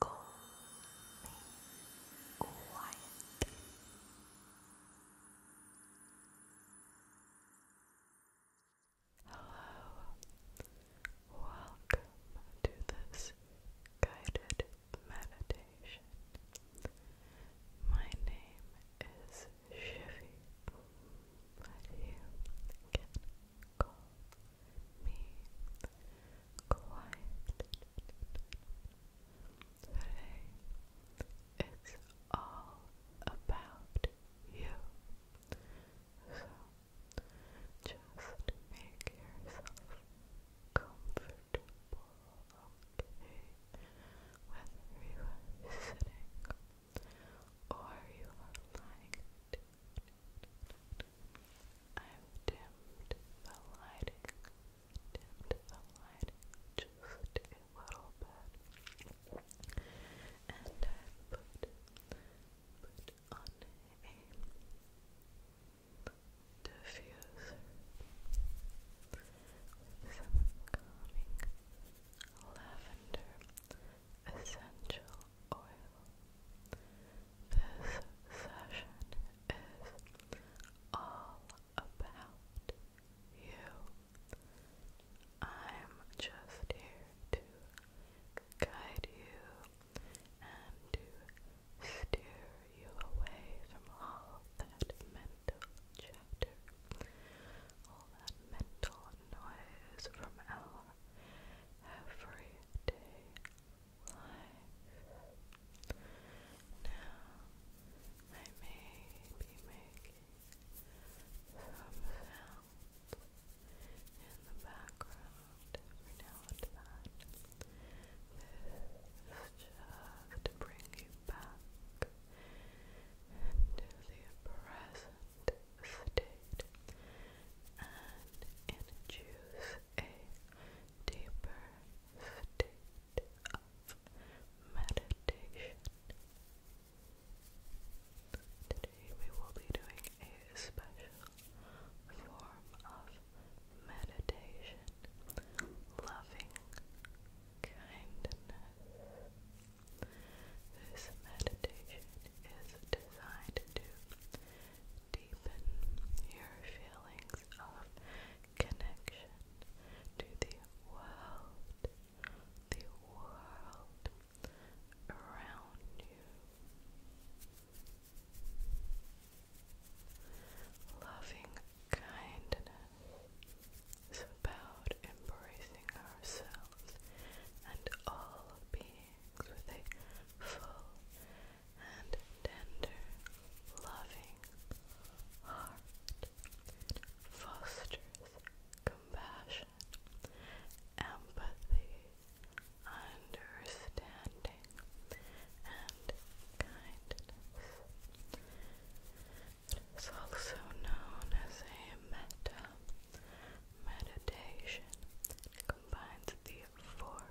Go quiet. Hello, welcome to this guided meditation. My name is Shivy, but you can call me quiet today it's all about you so just make yourself comfortable okay whether you are sitting or you are lying I've dimmed the lighting, dimmed the lighting just a little bit, and I put put on a diffuser with some calming lavender essential oil. This session is all about you. I'm just here to guide you and to steer you away from all that mental chatter, all that mental noise from our everyday life. Now, I may be making some sounds in the background now and just to bring you back into the present state and introduce a deeper state of meditation. Today we will be doing a special form of meditation, loving kindness. This meditation is designed to deepen your feelings of connection to the world, the world around you. Loving kindness is about embracing ourselves and all beings with a full and tender, loving heart. fosters compassion, empathy, understanding, and kindness. It is also known as a metta meditation. It combines four, one,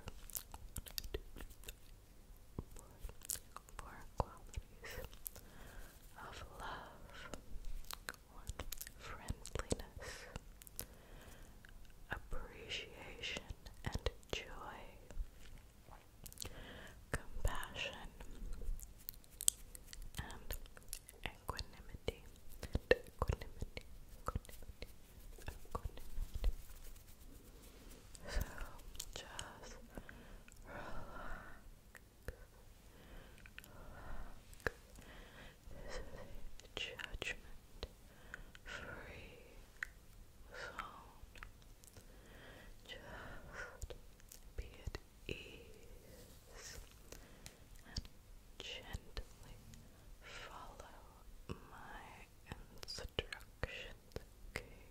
two, three, four, four qualities of love. friendliness, appreciation and joy, compassion, and equanimity, so just relax. This is a judgment free zone. Just be at ease gently follow my instructions, okay?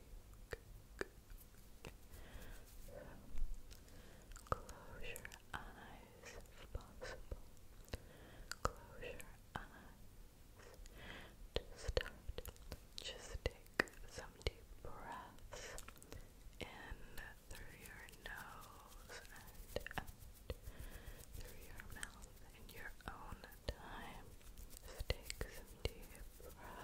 close your eyes if possible. Close your eyes. To just take some deep breaths in through your nose and through your mouth in your own time. take some deep breaths.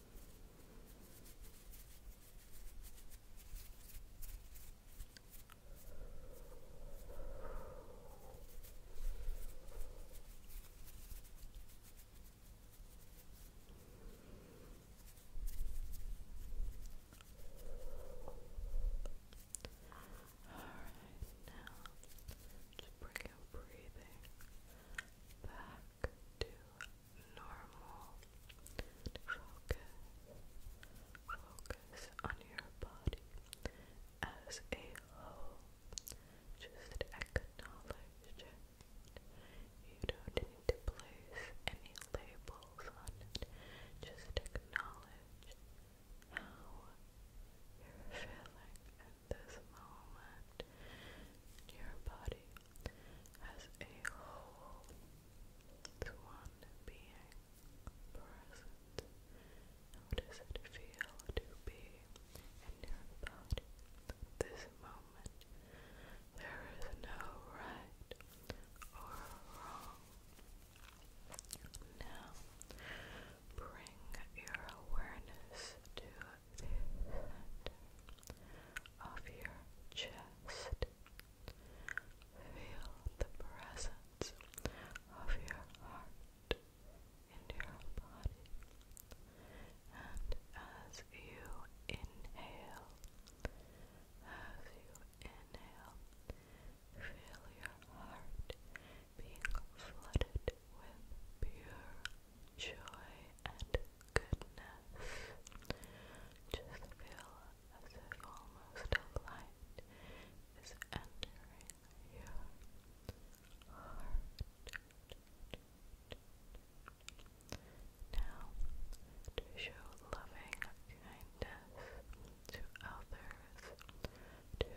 Alright, now to bring your breathing back to normal. Focus, focus on your body as a whole. Just acknowledge You don't need to place any labels on it. Just acknowledge how you're feeling at this moment. Your body as a whole one being present. How does it feel to be in your body this moment? There is no right or wrong. Now, bring your awareness to the of your chest. Feel the presence of your heart in your body. And as you inhale, as you inhale, feel your heart being flooded with pure joy, and goodness. Just feel as if almost a light is entering your heart. Now, to show loving kindness to others, to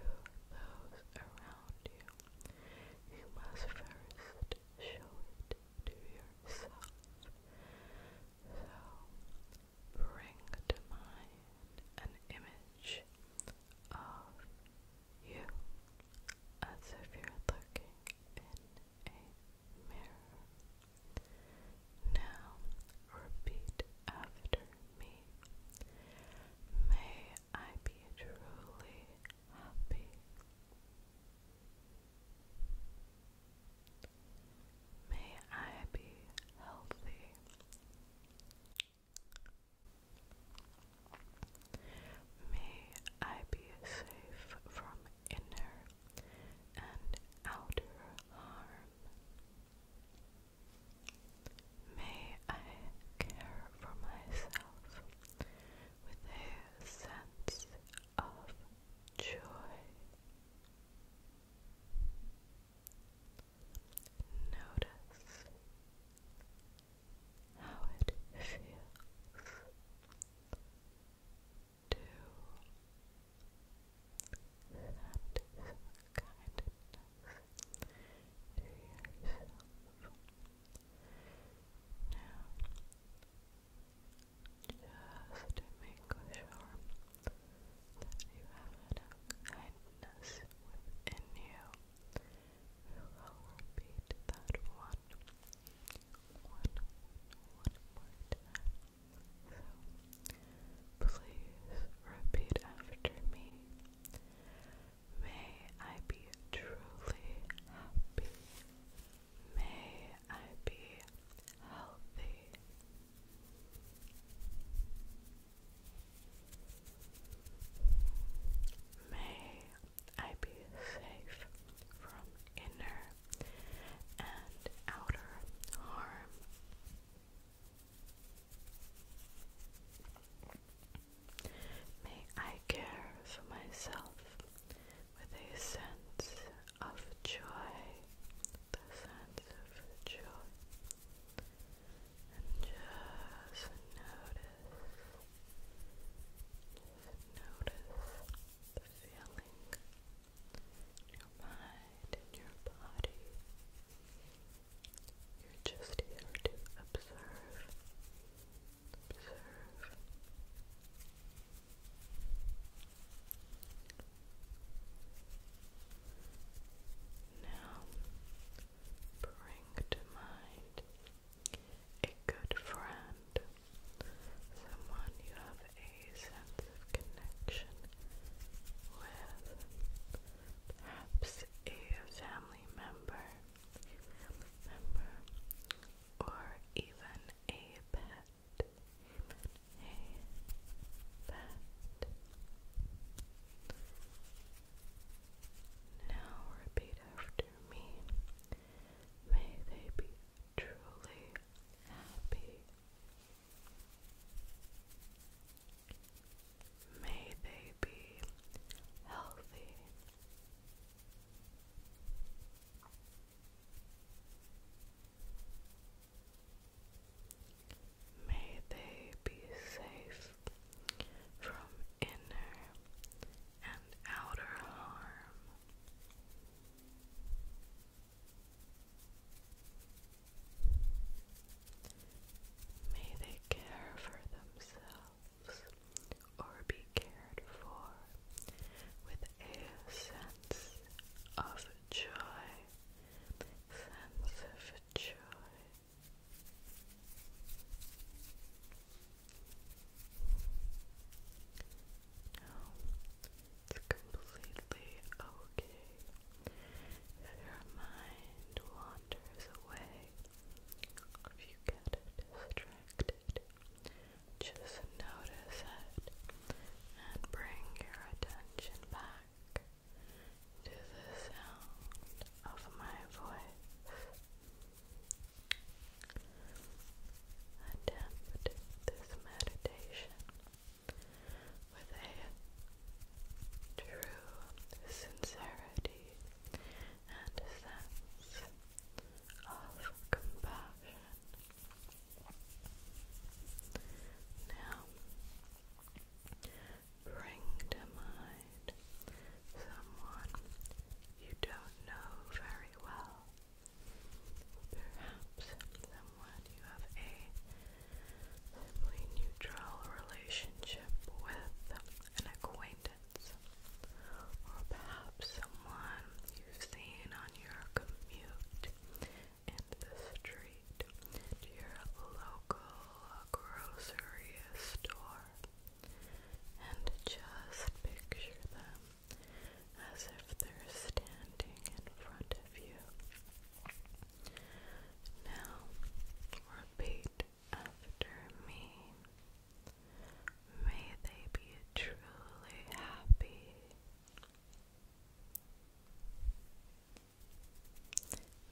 those around you, you must first show it to yourself. So bring to mind an image of you as if you're looking in a mirror. Now repeat after me. May I be truly happy. May I be healthy. May I be safe from inner and outer harm. May I care for myself with a sense of joy, notice how it feels to send some kindness to yourself. Now, just to make sure you have enough kindness within you. repeat that one, one, one please repeat after me. May I be truly happy. May I be healthy. May I be safe from inner and outer harm. May I care for myself with a sense of joy, the sense of joy, and just notice, notice the feeling your mind, in your body. You're just here to observe, observe. Now bring to mind a good friend, someone you have a sense of connection with, perhaps a family member, member or even a pet a bat. Now repeat after me. May they be truly happy. May they be healthy. May they be safe from inner and outer harm. May they care for themselves or be cared for with a sense of joy, sense of joy. it's completely okay if your mind wanders away, if you get distracted just notice it and bring your attention back to the sound of my voice. Attempt this meditation with a true sincerity and sense of compassion. Now, bring to mind someone you don't know very well. Perhaps someone you have a simply neutral relationship with an acquaintance, or perhaps someone you're seeing on your commute in the street to your local grocery store and just picture them as if they're standing in front of you. Now repeat after me. May they be truly happy.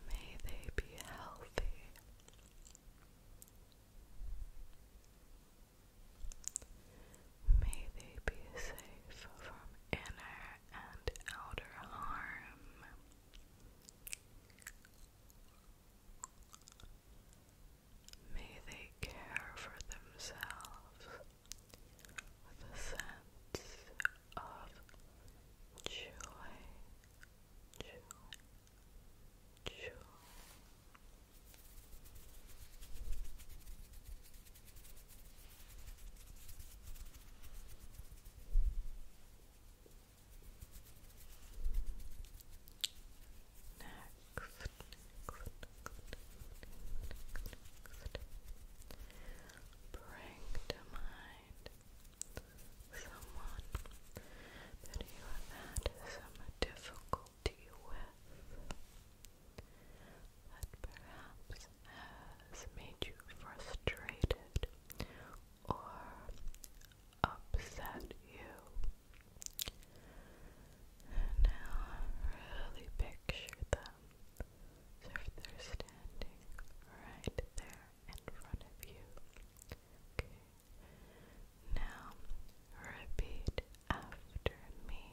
May they be healthy. May they be safe from inner and outer harm. May they care for themselves with a sense of joy, joy, joy. Next, Bring to mind someone that you have had some difficulty with that perhaps has made you frustrated or upset you now really picture them as if they're standing right there in front of you. Now repeat after me.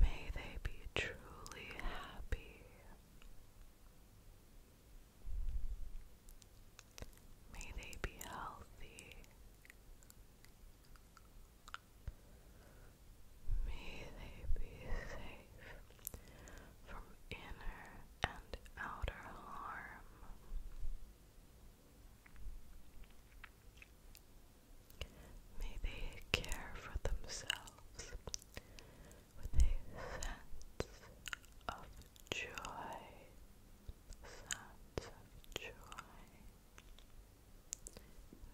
May they be truly happy. May they be healthy. May they be safe from inner and outer harm. May they care for themselves with a sense of joy, sense of joy.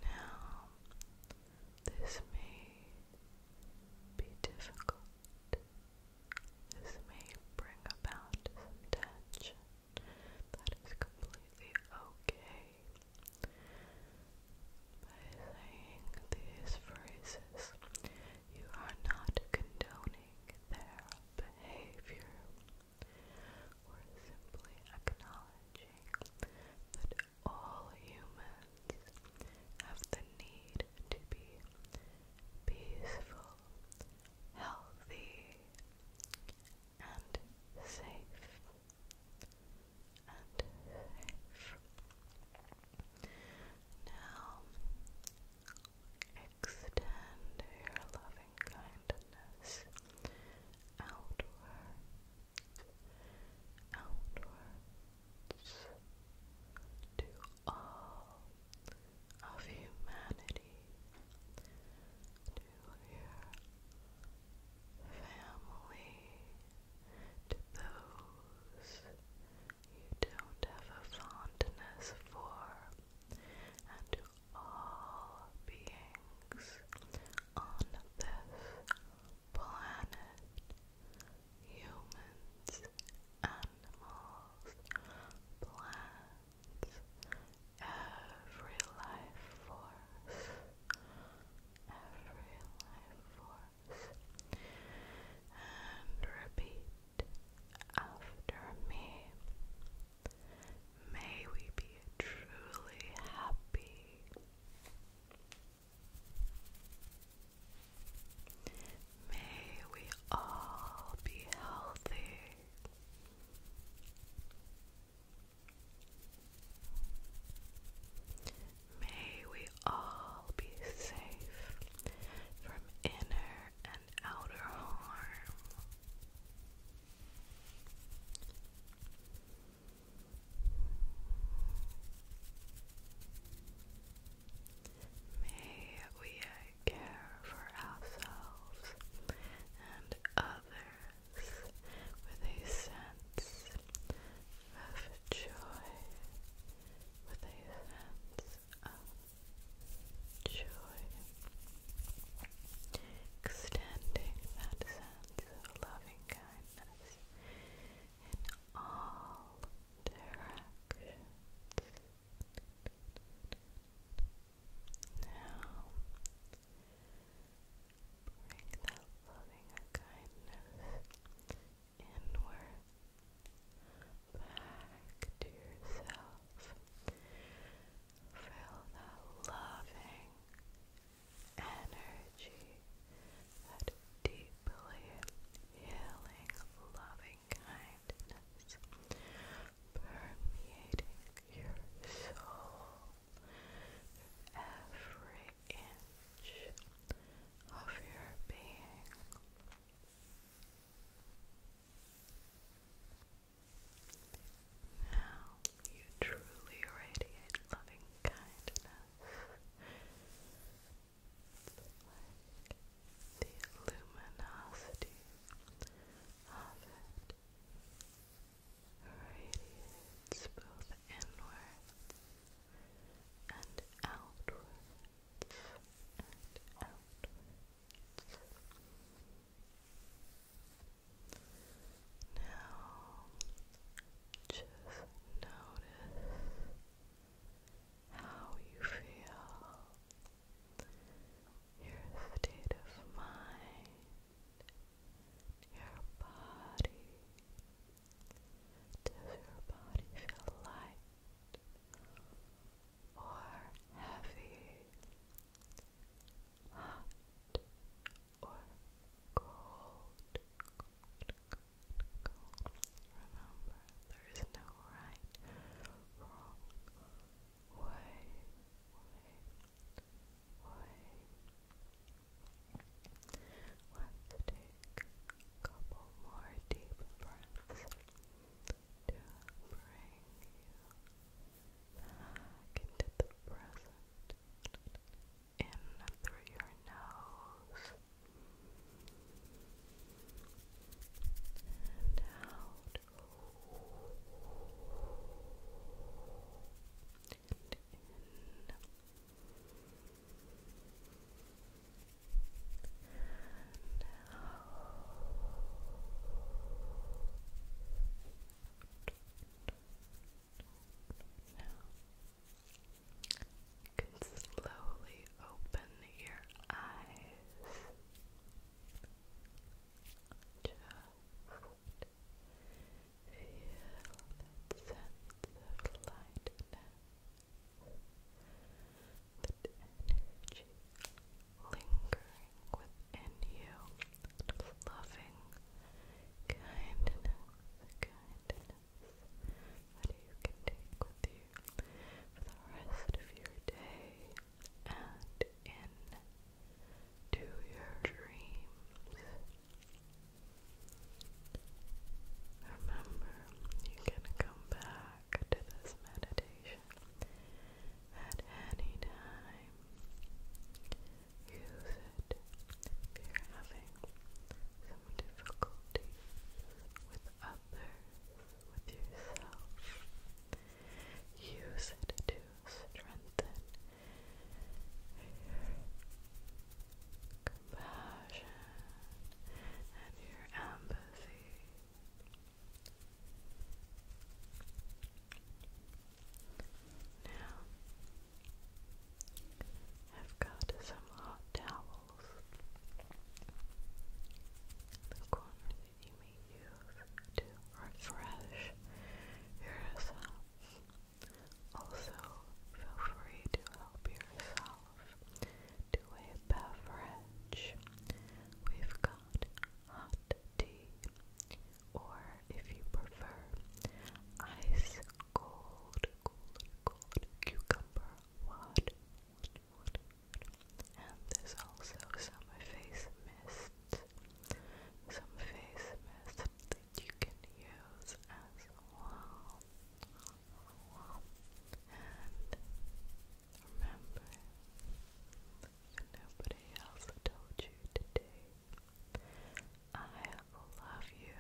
Now, this may be difficult. This may bring about some tension. That is completely okay. By saying these phrases, you are not condoning their behavior or simply acknowledging that all humans have the need to be peaceful, healthy, and safe. And Now, extend your loving kindness outwards, outwards to all of humanity, to your family, to those you don't have a fondness for, and to all beings on this planet, humans, animals, plants, every life force, every life force, and repeat after me. May we be truly happy. May we all be healthy. May we all be safe from inner and outer harm. May we care for ourselves and others with a sense of joy, with a sense of joy extending that sense of loving kindness in all directions. Now, bring that loving kindness inward, back to yourself. Feel that loving energy, that deeply healing, loving kindness permeating your soul every inch of your being. Now you truly radiate loving kindness. like the luminosity of it radiates both inwards and outwards now, just notice how you feel, your state of mind, your body. Does your body feel light or heavy? hot or cold. Remember, there is no right, wrong way, Let's take a couple more deep breaths to bring you back into the present in through your nose out in. out. Now, you can slowly open your eyes. feel that sense of lightness, that energy lingering within and you loving kindness, kindness that you can take with you for the rest of your day and into your dreams. Remember, you can come back to this meditation at any time use it if you're having some difficulty with others, with yourself. Use it to strengthen your compassion and your empathy. Now, I've got some hot towels you may use to refresh yourself. Also, feel free to help yourself to a beverage. We've got hot tea, or if you prefer, ice cold, cucumber wad. And there's also some face mist, some face mist that you can use as well. And remember, nobody else told you today. I love you,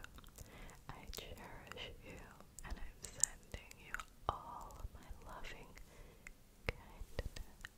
I cherish you, and I'm sending you all my loving kindness.